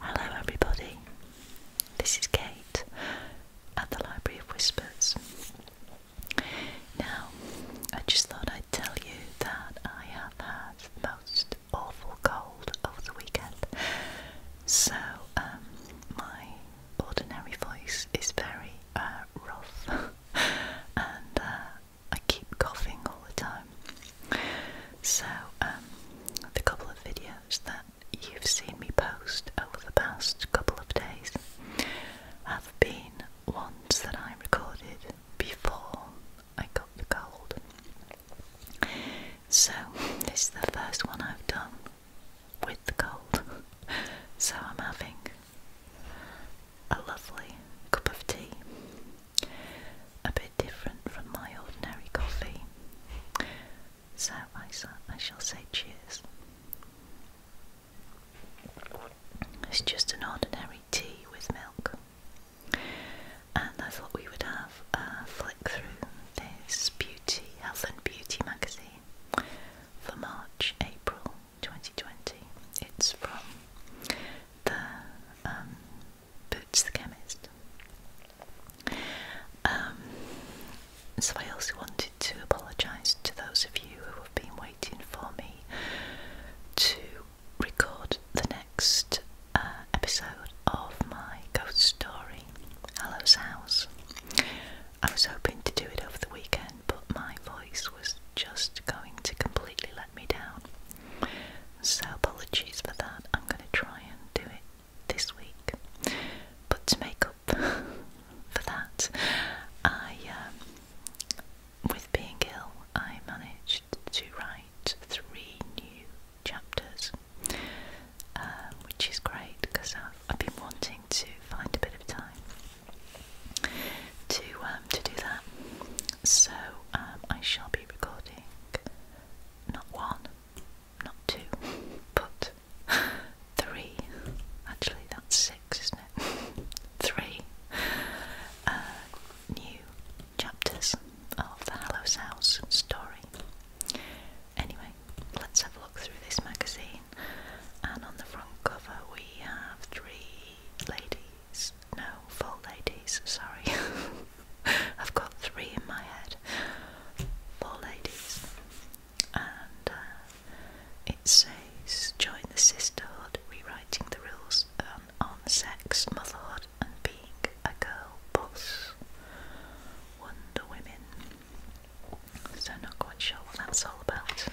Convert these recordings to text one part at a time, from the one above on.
Hello, everybody. This is Kate at the Library of Whispers. Now, I just thought I'd tell you that I have had the most awful cold of the weekend. So, um, my ordinary voice is very uh, rough, and uh, I keep coughing all the time. So, um, the couple of videos that you've seen me post over the past couple of days have been ones that I recorded before I got the cold. So, this is the first one I've done with the cold. So, I'm having a lovely cup of tea a bit different from my ordinary coffee. So I, shall say cheers. It's just an ordinary tea with milk. And I thought we would have a flick through this beauty, health and beauty magazine for March, April 2020. It's from the um, Boots the Chemist. Um, so I also wanted to apologise to those of you who have been waiting for me to record the next uh, episode of my ghost story, Hallow's House. I was hoping to do it over the weekend, but my voice was just going to completely let me down. So apologies for that. I'm going to try and do it this week. But to make up for that, I, um, with being ill, I managed to write three new chapters, uh, which is great because I've been wanting to find a bit of time to um, to do that. So um, I shall be recording not one, not two, but three. Actually, that's six, isn't it? three uh, new chapters of the Hallows House story. Anyway, let's have a look through this magazine. And on the front cover, we have three ladies. No, four ladies, sorry. I've got three in my head. Four ladies. And uh, it says join the sisterhood, rewriting the rules on, on sex, motherhood, and being a girl boss. Wonder Women. So, not quite sure what that's all about.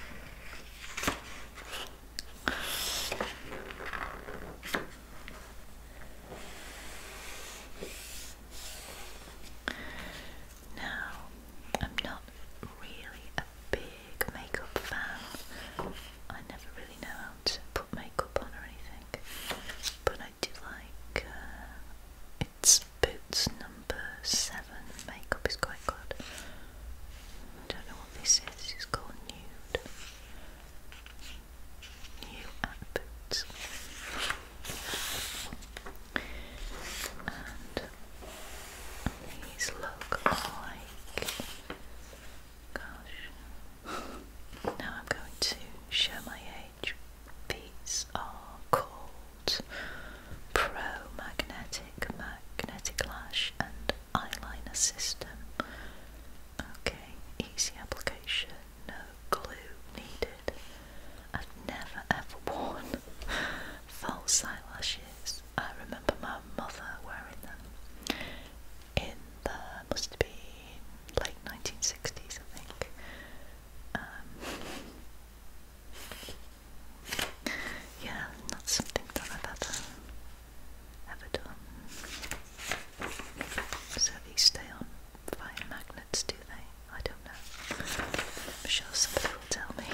Now, I'm not really a big makeup fan. I never really know how to put makeup on or anything, but I do like uh, it's Boots number seven. Makeup is quite good. I don't know what this is, it's called Nude. New Boots. And these look like. Gosh. Now I'm going to show my age. These are called Pro Magnetic. Magnetic Lash and Eyeliner System. Okay, easy application, no glue needed. I've never ever worn false eyelashes. I remember my mother wearing them in the must have been late 1960s, I think. Um, yeah, not something that i Avedon. So these stay on fire magnets, do they? I don't know. I'm sure somebody will tell me.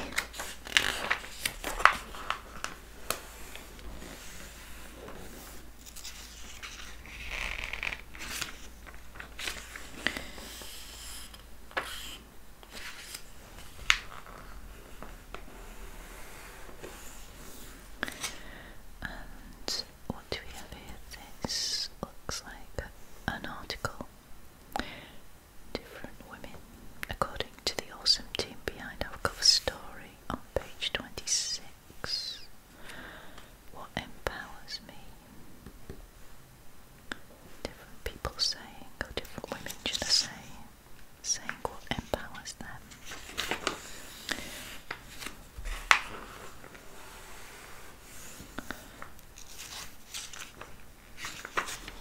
And what do we have here? This looks like an article. Different women, according to the awesome team behind our cover story on page 26. What empowers me? Different people saying, or different women, should I say, saying what empowers them.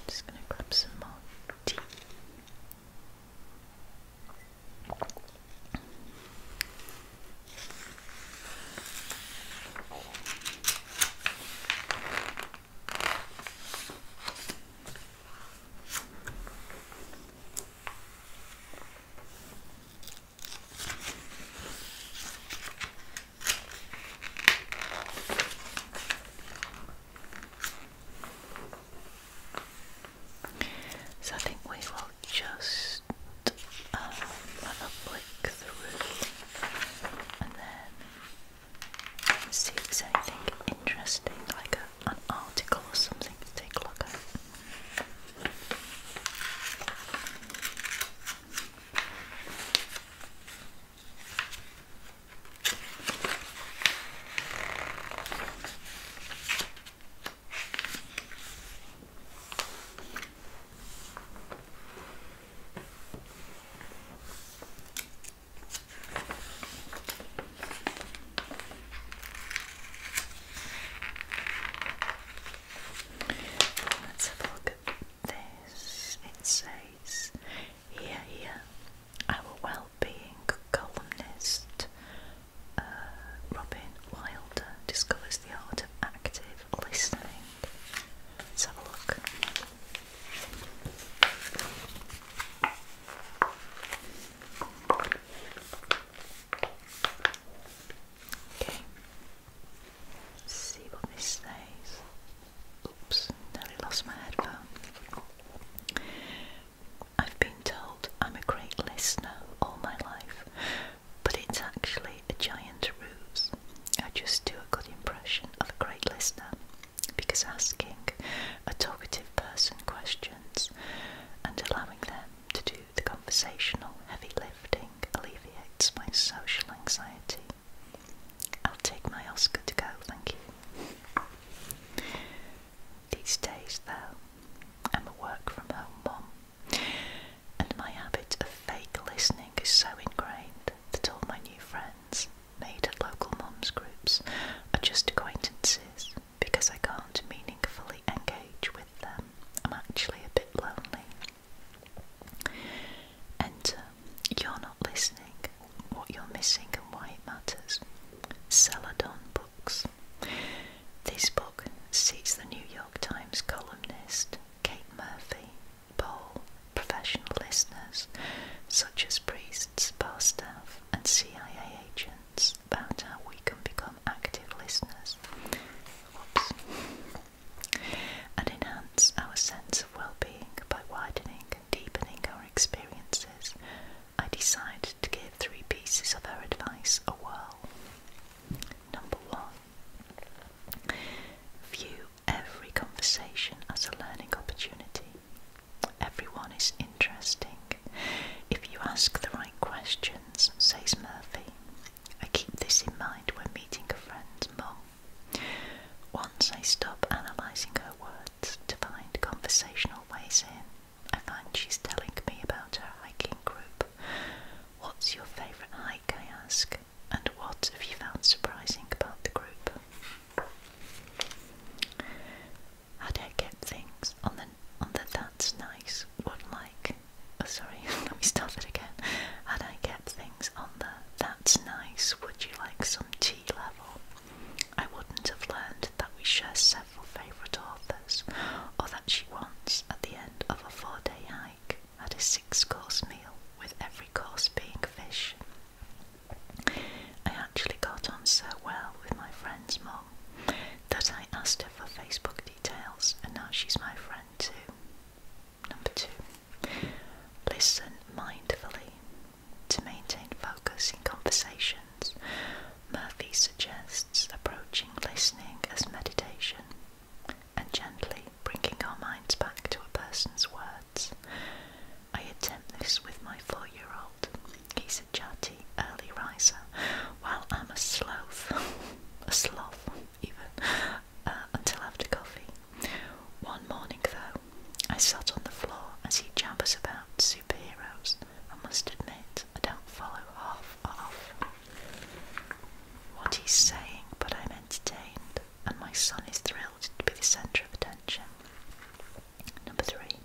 just going to grab some more tea. So I think we will just have um, a flick through and then see if there's anything interesting, like an article or something to take a look at. Let's have a look at this. It says here, here, our well-being columnist uh, Robin Wilder discovers the art of active listening. Let's have a look. Okay. see what this says. Oops, nearly lost my headphone. I've been told I'm a great listener all my life, but it's actually a giant ruse. I just do a good impression of a great listener because asking a talkative person questions and allowing them to do the conversational heavy lifting alleviates my social anxiety. I'll take my Oscar to go, thank you. These days, though, I'm a work from home mum, and my habit of fake listening is so ingrained that all my new friends made at local moms' groups are just acquaintances because I can't meaningfully engage with them. I'm actually a bit lonely. Enter. Uh, you're not listening. What you're missing and why it matters. Celadon Books. This book seats the New York Times columnist Kate Murphy Bowl professional listeners, such as priests, pastors, and CIA agents, about how we can become active listeners and enhance our sense of well being by widening and deepening our experiences. I decided to give three pieces of her advice a whirl. Number one, view every conversation as a learning opportunity. Everyone is interesting. If you ask the right questions, says Murphy. I keep this in mind when meeting a friend's Mom. Once I stop analysing her words to find conversational ways in, I find she's telling me about her hiking group. What's your favourite hike? I ask, and what have you found surprising about the group? how do I get things on the on the that's nice one like oh, sorry, let me start again. How'd I get things on the that's nice, would you like some tea level? I wouldn't have learned that we share several favourite authors, or that she once, at the end of a four day hike, had a six course meal, with every course being fish I actually got on so well with my friend's mum that I asked her for Facebook details and now she's my friend too. Number two, listen mindfully. To maintain focus in conversations, Murphy suggests approaching listening as meditation and gently bringing our minds back to a person's words. I attempt this with my four-year-old. He's a chatty early riser, while I'm a sloth, a sloth even, uh, until after coffee. One morning though, I sat on the floor as he jabbers about superheroes. I must admit, I don't follow half of what he's saying, but I'm entertained and my son is thrilled to be the centre of attention. Number three.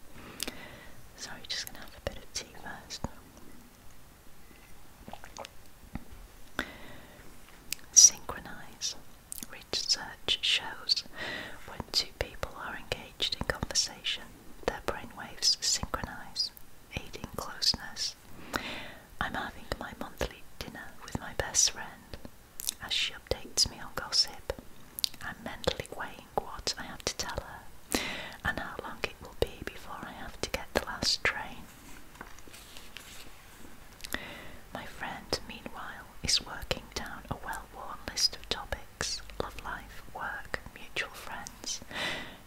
Sorry, just gonna have a bit of tea first. Synchronize. Research shows when two people are engaged in conversation, their brainwaves synchronize, aiding closeness. I'm having my monthly dinner with my best friend. As she updates me on gossip, I'm mentally weighing what I have to tell her and how long it will be before I have to get the last train. My friend, meanwhile, is working down a well worn list of topics love life, work, mutual friends.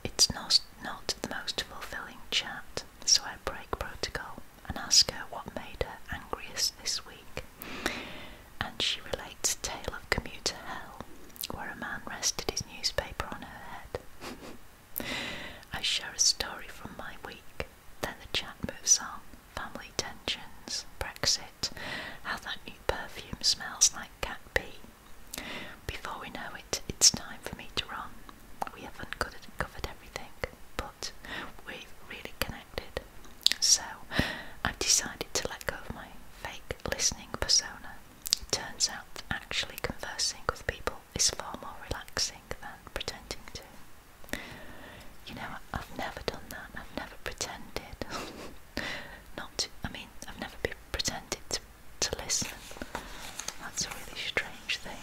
It's not, not the most fulfilling chat, so I break protocol and ask her what made her angriest this week. And she relates a tale of commuter hell, where a man rested his newspaper on her head. I share a story from my week, then the chat moves on. Family tensions, Brexit, how that new perfume smells like cat pee. Before we know it, it's time for me to run. We haven't covered everything, but we really connected. So I've decided to let go of my fake listening persona. It turns out actually conversing with people is far more relaxing than pretending to. You know, I've never done that. I've never pretended. Not I mean, I've never pretended to, to listen. That's a really strange thing.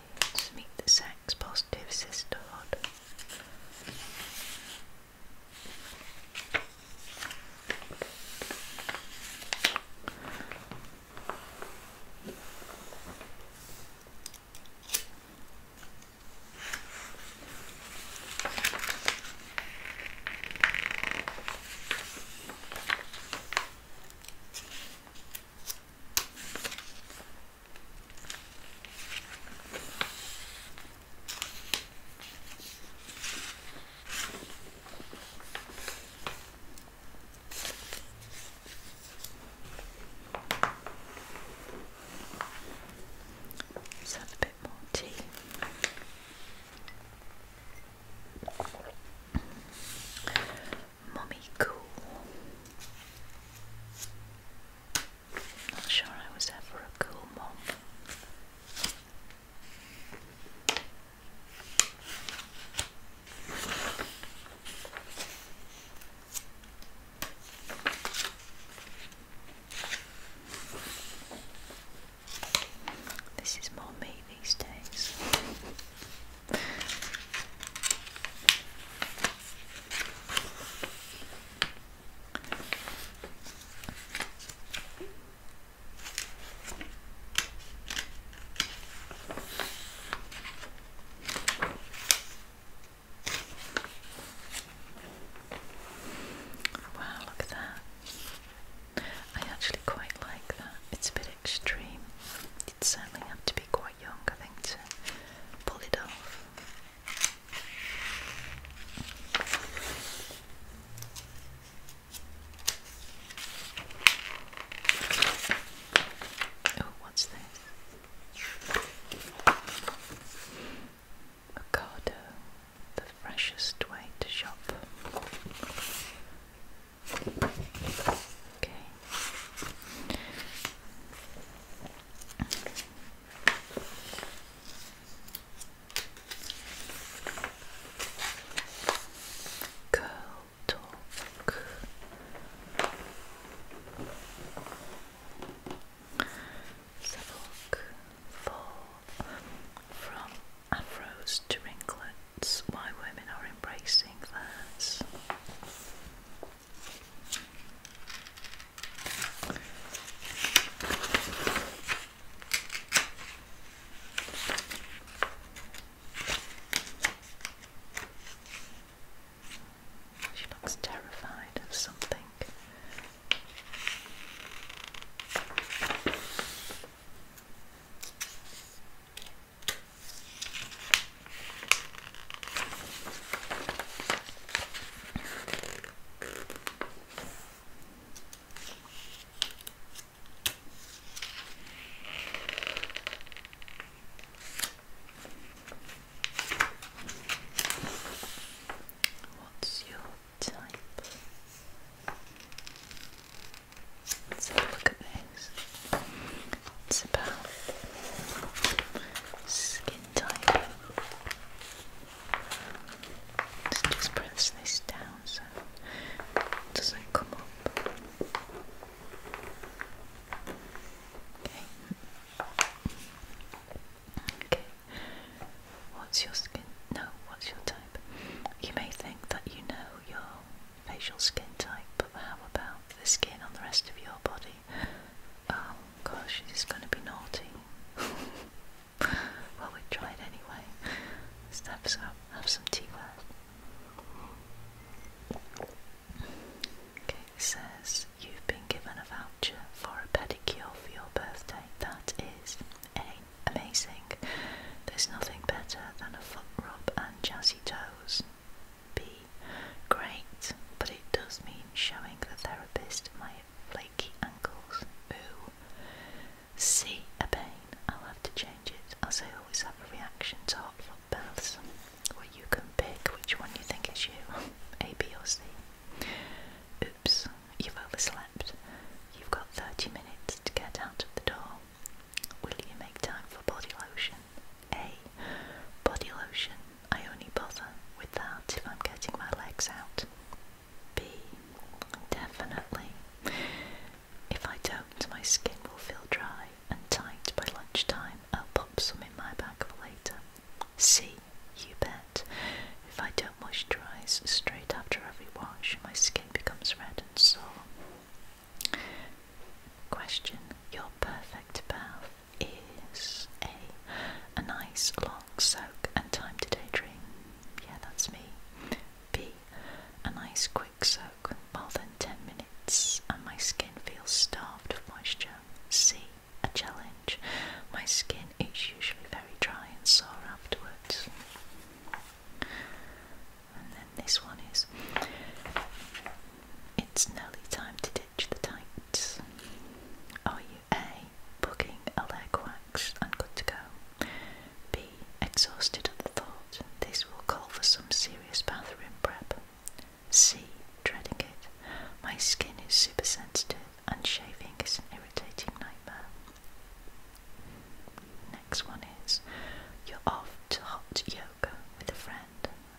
meet the sex positive sisterhood. Let's have a bit more tea. Mummy Cool. Not sure I was ever a cool mom. This is more me these days. Wow, look at that. I actually quite like that. It's a bit extreme. You'd certainly have to be quite quite young, I think, to pull it off. Oh, what's this? Ocado, the freshest way to shop. Okay. Girl talk. Suffolk fall from afros to ringlets. Why women are embracing theirs. She looks terrified of something. What's your type? Let's look at this. It's about skin type. Let's just press this down so it doesn't come up. Okay. Okay. What's your skin? No, what's your type? You may think that you know your facial skin type, but how about the skin on the rest of your body? Oh gosh, she's is going to be naughty. well, we tried anyway. Let's have some, have some tea with. Okay, says you've been given a voucher for a pedicure for your birthday. That is amazing. There's nothing better than a foot rub and jazzy toes be great, but it does mean showing the therapist my flaky ankles. Ooh. See a pain. I'll have to change it, as I always have a reaction to hot foot baths, where you can pick which one you think is you, A, B or C. Oops, you've overslept. You've got 30 minutes to get out of the door. Will you make time for body lotion? A. Body lotion. I only bother with that if I'm getting my legs out. B. Definitely. If I don't, my skin will feel dry and tight by lunchtime. I'll pop some in my bag later. C. You bet. If I don't moisturise straight after every wash, my skin becomes red and sore. Question Your perfect bath is A. A nice long soak and time to daydream. Yeah, that's me. B. A nice quick soak, more than 10 minutes, and my skin feels starved of moisture. C. A challenge. My skin is usually very dry and sore afterwards. And then this one is it's nearly time to ditch the tights. Are you A. Booking a leg wax and good to go? B. Exhausted at the thought, this will call for some serious bathroom prep. C. Dreading it, my skin is super sensitive and shaving is an irritating nightmare. Next one is, you're off to hot yoga with a friend.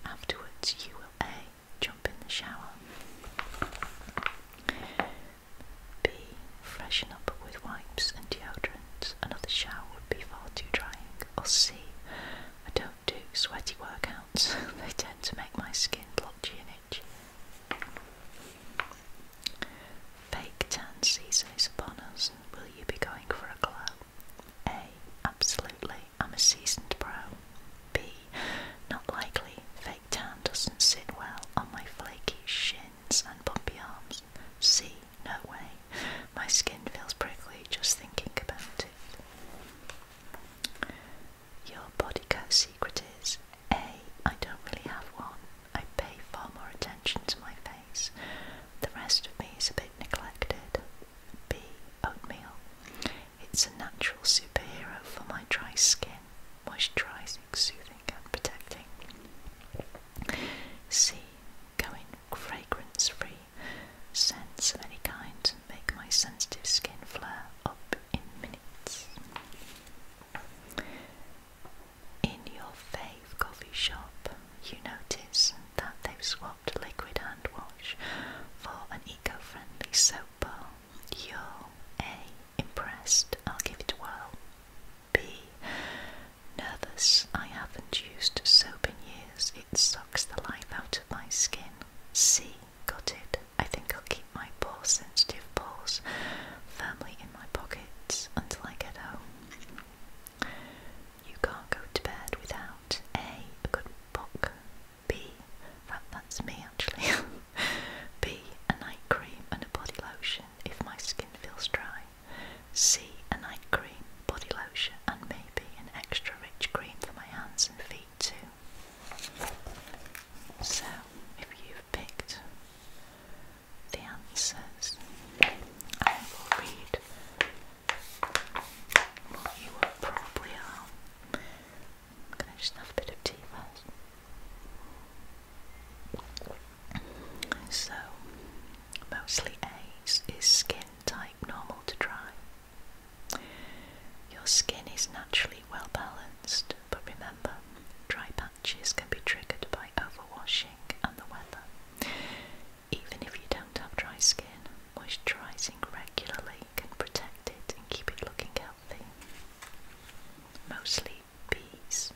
Afterwards, you will A. Jump in the shower. B. Freshen up with wipes and deodorant. Another shower would be far too drying. Or C. I don't do sweaty workouts. they tend to make my skin blotchy and itchy. Fake tan season is upon us. Will you be going for a glow? A. Absolutely, I'm a seasoned pro. B. Not likely, fake tan doesn't sit well on my flaky shins and bumpy arms. C. No way, my skin feels prickly just thinking about it. Your body cat secret is A. I don't really have one. I pay far more attention to my face. The rest of me is a bit neglected. B. Oatmeal. It's a natural superhero for my dry skin, moisturising, soothing, and protecting. C. Going fragrance free, scents of any kind make my sensitive skin flare up in minutes. In your fave coffee shop, you notice that they've swapped liquid hand wash for an eco-friendly soap bar. You're A. Impressed, I'll give it a whirl. B. Nervous, I haven't used soap in years, it sucks the life out of my skin. C. Got it, I think I'll keep my poor sensitive paws firmly in my pockets until I get home you can't go to bed without A, good book, B, that's me actually, B, a night cream and a body lotion if my skin feels dry, C, a night cream, body lotion and maybe an extra rich cream for my hands and feet too. So, if you've picked the answers, I will read it. Well, probably are. Can I just a bit of tea first? So, mostly A's is skin type normal to dry. Your skin is naturally well balanced, but remember, dry patches can be triggered by overwashing and the weather. Even if you don't have dry skin, moisturising regularly can protect it and keep it looking healthy. Mostly bees.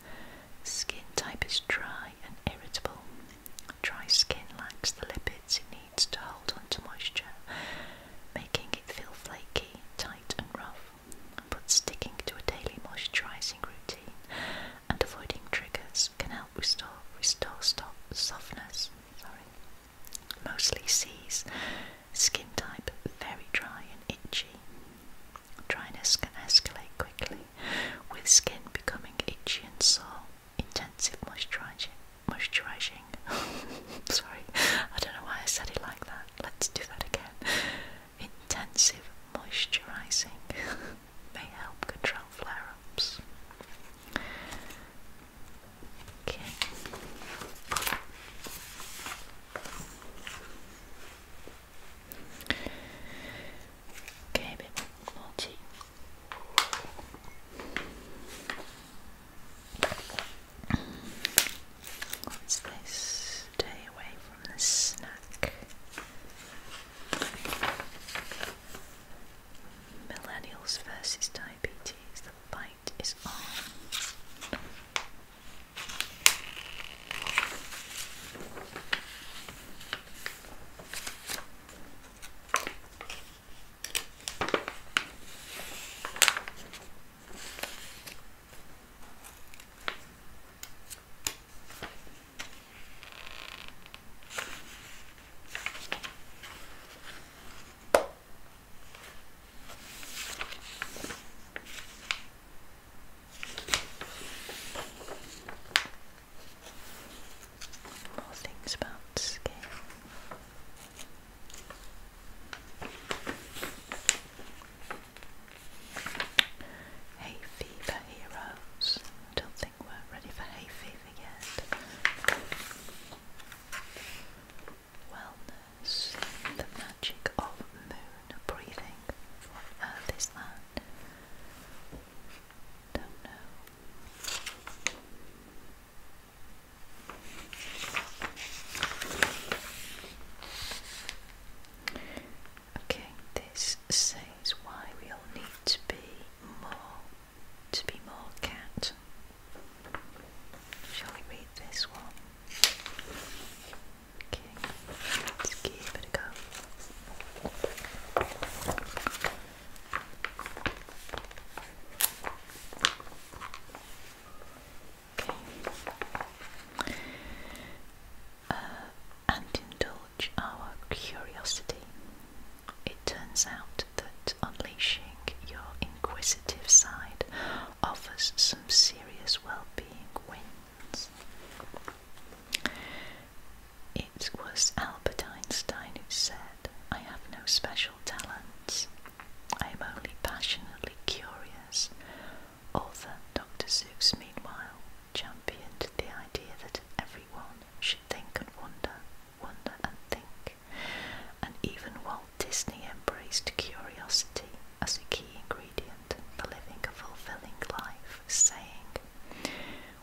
Skin type is dry and irritable. Dry skin lacks the lipids it needs to hold on to moisture, making it feel flaky, tight, and rough. But sticking to a daily moisturising routine and avoiding triggers can help restore restore stop, softness. Sorry. Mostly C's. Skin type very dry and itchy. Dryness can escalate quickly, with skin becoming itchy and sore. Intensive moisturizing. Moisturizing. Sorry, I don't know why I said it like that. Let's do that again. Intensive moisturizing. may help control flare ups. Okay. Okay, a bit more What's this? Stay away from the snack. Millennials versus diabetes, the fight is on. More things about scale. Hay fever heroes. I don't think we're ready for hay fever forget. Wellness, the magic of moon breathing. What uh, earth is Don't know. Okay, this says why we all need to be more to be more cat. Shall we read this one? Okay, let's give it a go. Okay. Uh, and in our curiosity. It turns out that unleashing your inquisitive side offers some serious well being wins. It was Albert Einstein who said, I have no special talents. I am only passionately curious. Author Dr. Seuss, meanwhile, championed the idea that everyone think and wonder, wonder and think. And even Walt Disney embraced curiosity as a key ingredient for living a fulfilling life, saying,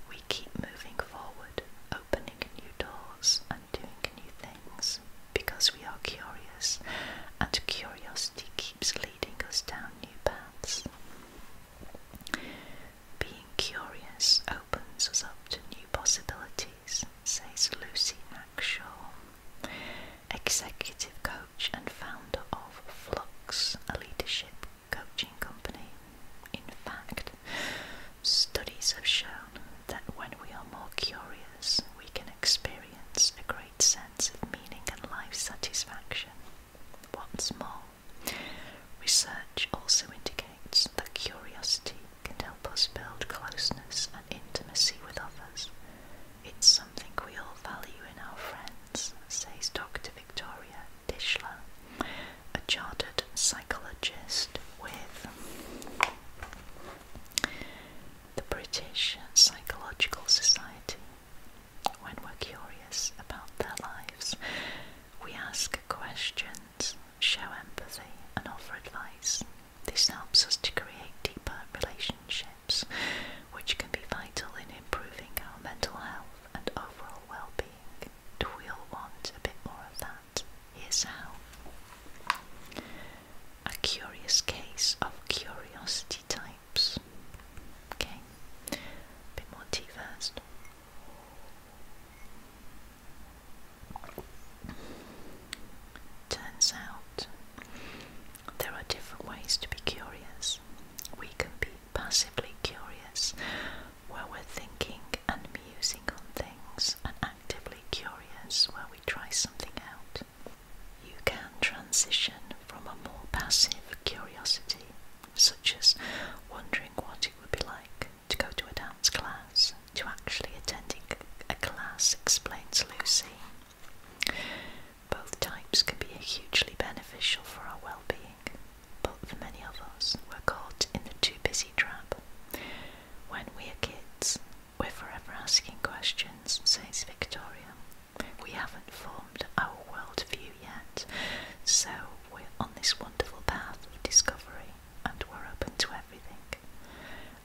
We keep moving forward, opening new doors, and doing new things because we are curious, and curiosity keeps leading us down new paths. Being curious opens us up to new possibilities, says Lucy Hackshaw, executive coach and founder of Flux, a leadership coaching company. In fact, studies have shown that when we are more curious, we can experience a great sense of meaning and life satisfaction. Once more, research also indicates that curiosity can help us build closeness and intimacy with others. It's something we all value in our friends, says Dr. Victoria Dishler, a chartered psychologist with the British Psychological Society when we're curious about their lives, we ask questions, show empathy, and offer advice. This helps us to create deeper relationships, which can be vital in improving our mental health and overall well being. Do we all want a bit more of that? Here's how. A curious case of curiosity types. Okay, a bit more tea first. Turns out there are different ways to be curious. We can be passively curious, where we're thinking and musing on things, and actively curious, where we try something out. You can transition from a more passive curiosity such as wondering what it would be like to go to a dance class, to actually attending a class, explains Lucy. Both types can be hugely beneficial for our well being, but for many of us, we're caught in the too busy trap. When we are kids, we're forever asking questions, says Victoria. We haven't formed our world view yet. So we're on this wonderful path of discovery and we're open to everything.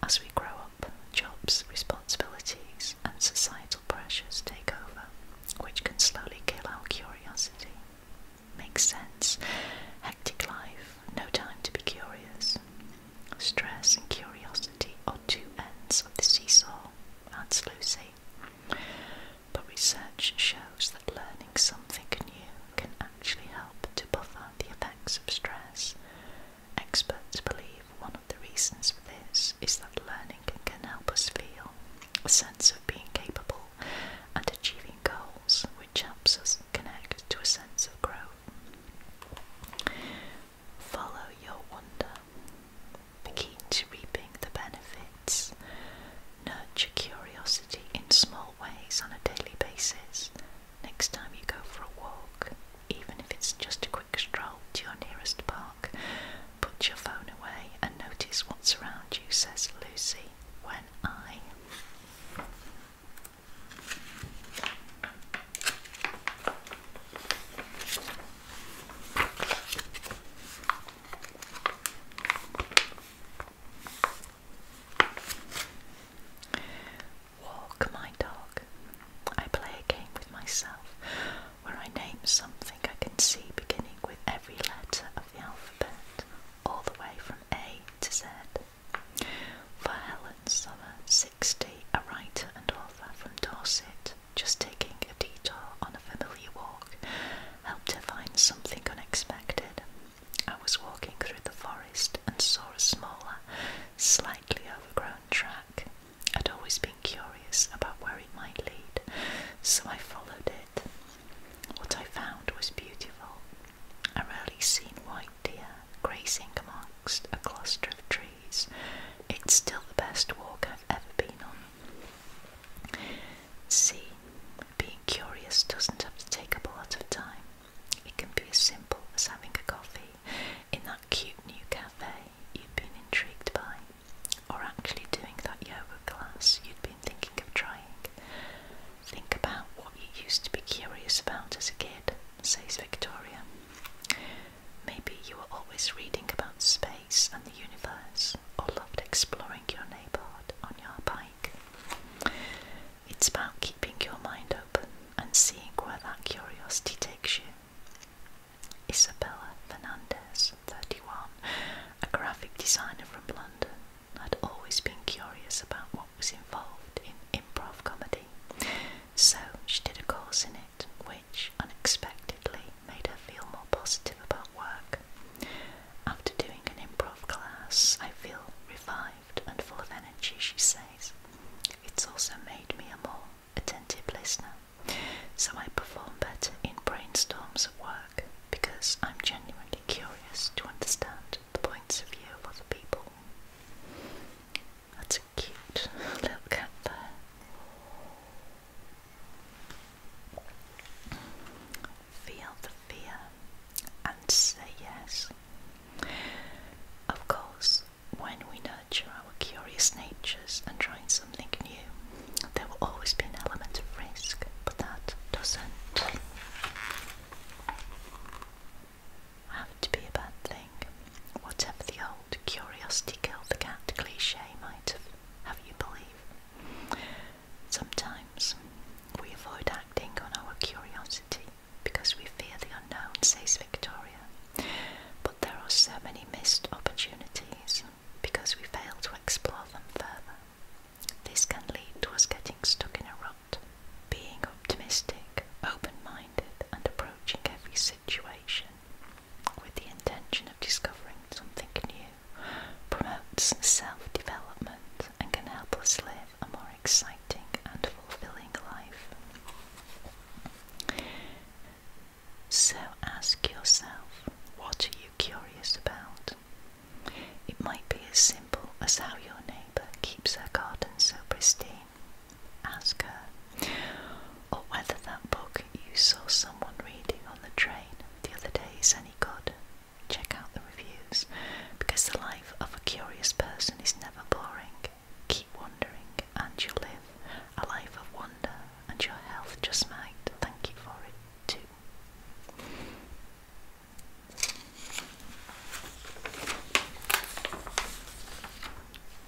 As we grow up, jobs, responsibilities, and societal pressures take over, which can slowly kill our curiosity. Makes sense. Hectic life, no time to be curious. Stress and curiosity are two ends of the seesaw, That's Lucy but research shows that learning something new can actually help to buffer the effects of stress. Experts believe one of the reasons for this is that learning can help us feel a sense of being capable and achieving goals, which helps us connect to a sense of growth. Follow your wonder. Be keen to reaping the benefits, nurture curiosity in small ways on a daily basis. Next time you go for a walk, even if it's just a quick stroll to your nearest park, put your phone away and notice what's around you, says Lucy. When I Walk my dog. I play a game with myself where I name something I can see beginning with every letter of the alphabet, all the way from A to Z. For Helen Summer, 60, a writer and author from Dorset, just taking a detour on a familiar walk helped to find something unexpected. I was walking through the forest and saw a smaller, slightly overgrown track. I'd always been curious about where it might lead, so I followed it. What I found was beautiful. I rarely seen white deer grazing amongst a cluster of trees. It's still the best walk I've ever been on. See, being curious doesn't have to take up a lot of time. It can be as simple as having a coffee in that cute new cafe you've been intrigued by, or actually doing that yoga class you'd been thinking of trying. Think about what you used to be curious about as a kid, says Victoria. Maybe you were always reading about space and the universe, or loved exploring your neighborhood on your bike. It's about keeping your mind open and seeing where that curiosity takes you. Isabella Fernandez, 31, a graphic designer from London, had always been curious about what was involved in improv comedy, so she did a course in it which unexpectedly made her feel more positive about work. After doing an improv class, I feel revived and full of energy, she says. It's also made me a more attentive listener, so I perform better in brainstorms at work because I'm genuinely curious to understand the points of view of other people. That's a cute little cat there. Feel the fear and say yes. Of course, when we nurture our curious natures and trying something new, there will always be an element of risk, but that doesn't have to be a bad thing. Whatever the old curiosity killed the cat cliche might have have you believe. Sometimes we avoid acting on our curiosity because we fear the unknown, says Victoria. But there are so many missed opportunities because we fail to explore them further. This can lead to us getting stuck in a rut. Being optimistic, open minded, and approaching every situation with the intention of discovering something new, promotes self development, and can help us live a more exciting and fulfilling life. So ask yourself what are you curious about? It might be as simple as how your neighbour keeps her garden so pristine. Ask her, or whether that book you saw someone reading on the train the other day is any good, check out the reviews because the life of a curious person is never boring. Keep wondering and you'll live a life of wonder, and your health just might thank you for it too.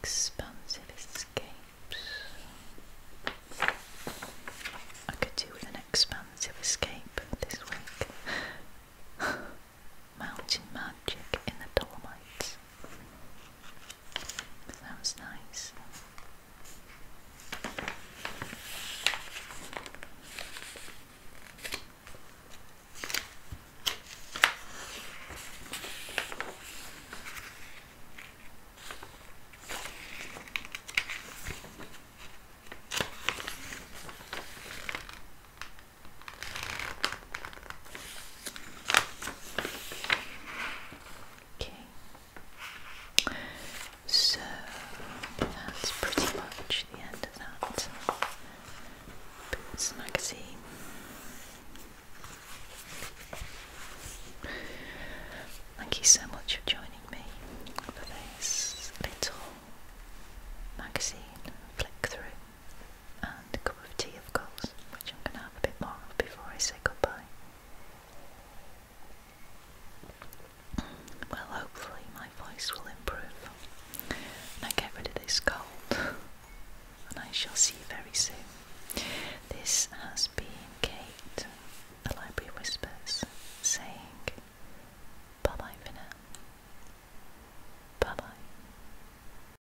Expansive escapes. I could do an expansive escape this week. Mountain magic in the Dolomites. That was nice. Okay. So that's pretty much the end of that Boots magazine. Thank you so much for joining me for this little magazine flick through a cup of tea, of course, which I'm going to have a bit more of before I say goodbye. Well, hopefully, my voice will improve and I get rid of this cold, and I shall see you very soon. This has been Kate, the Library Whispers, saying bye bye for Bye bye.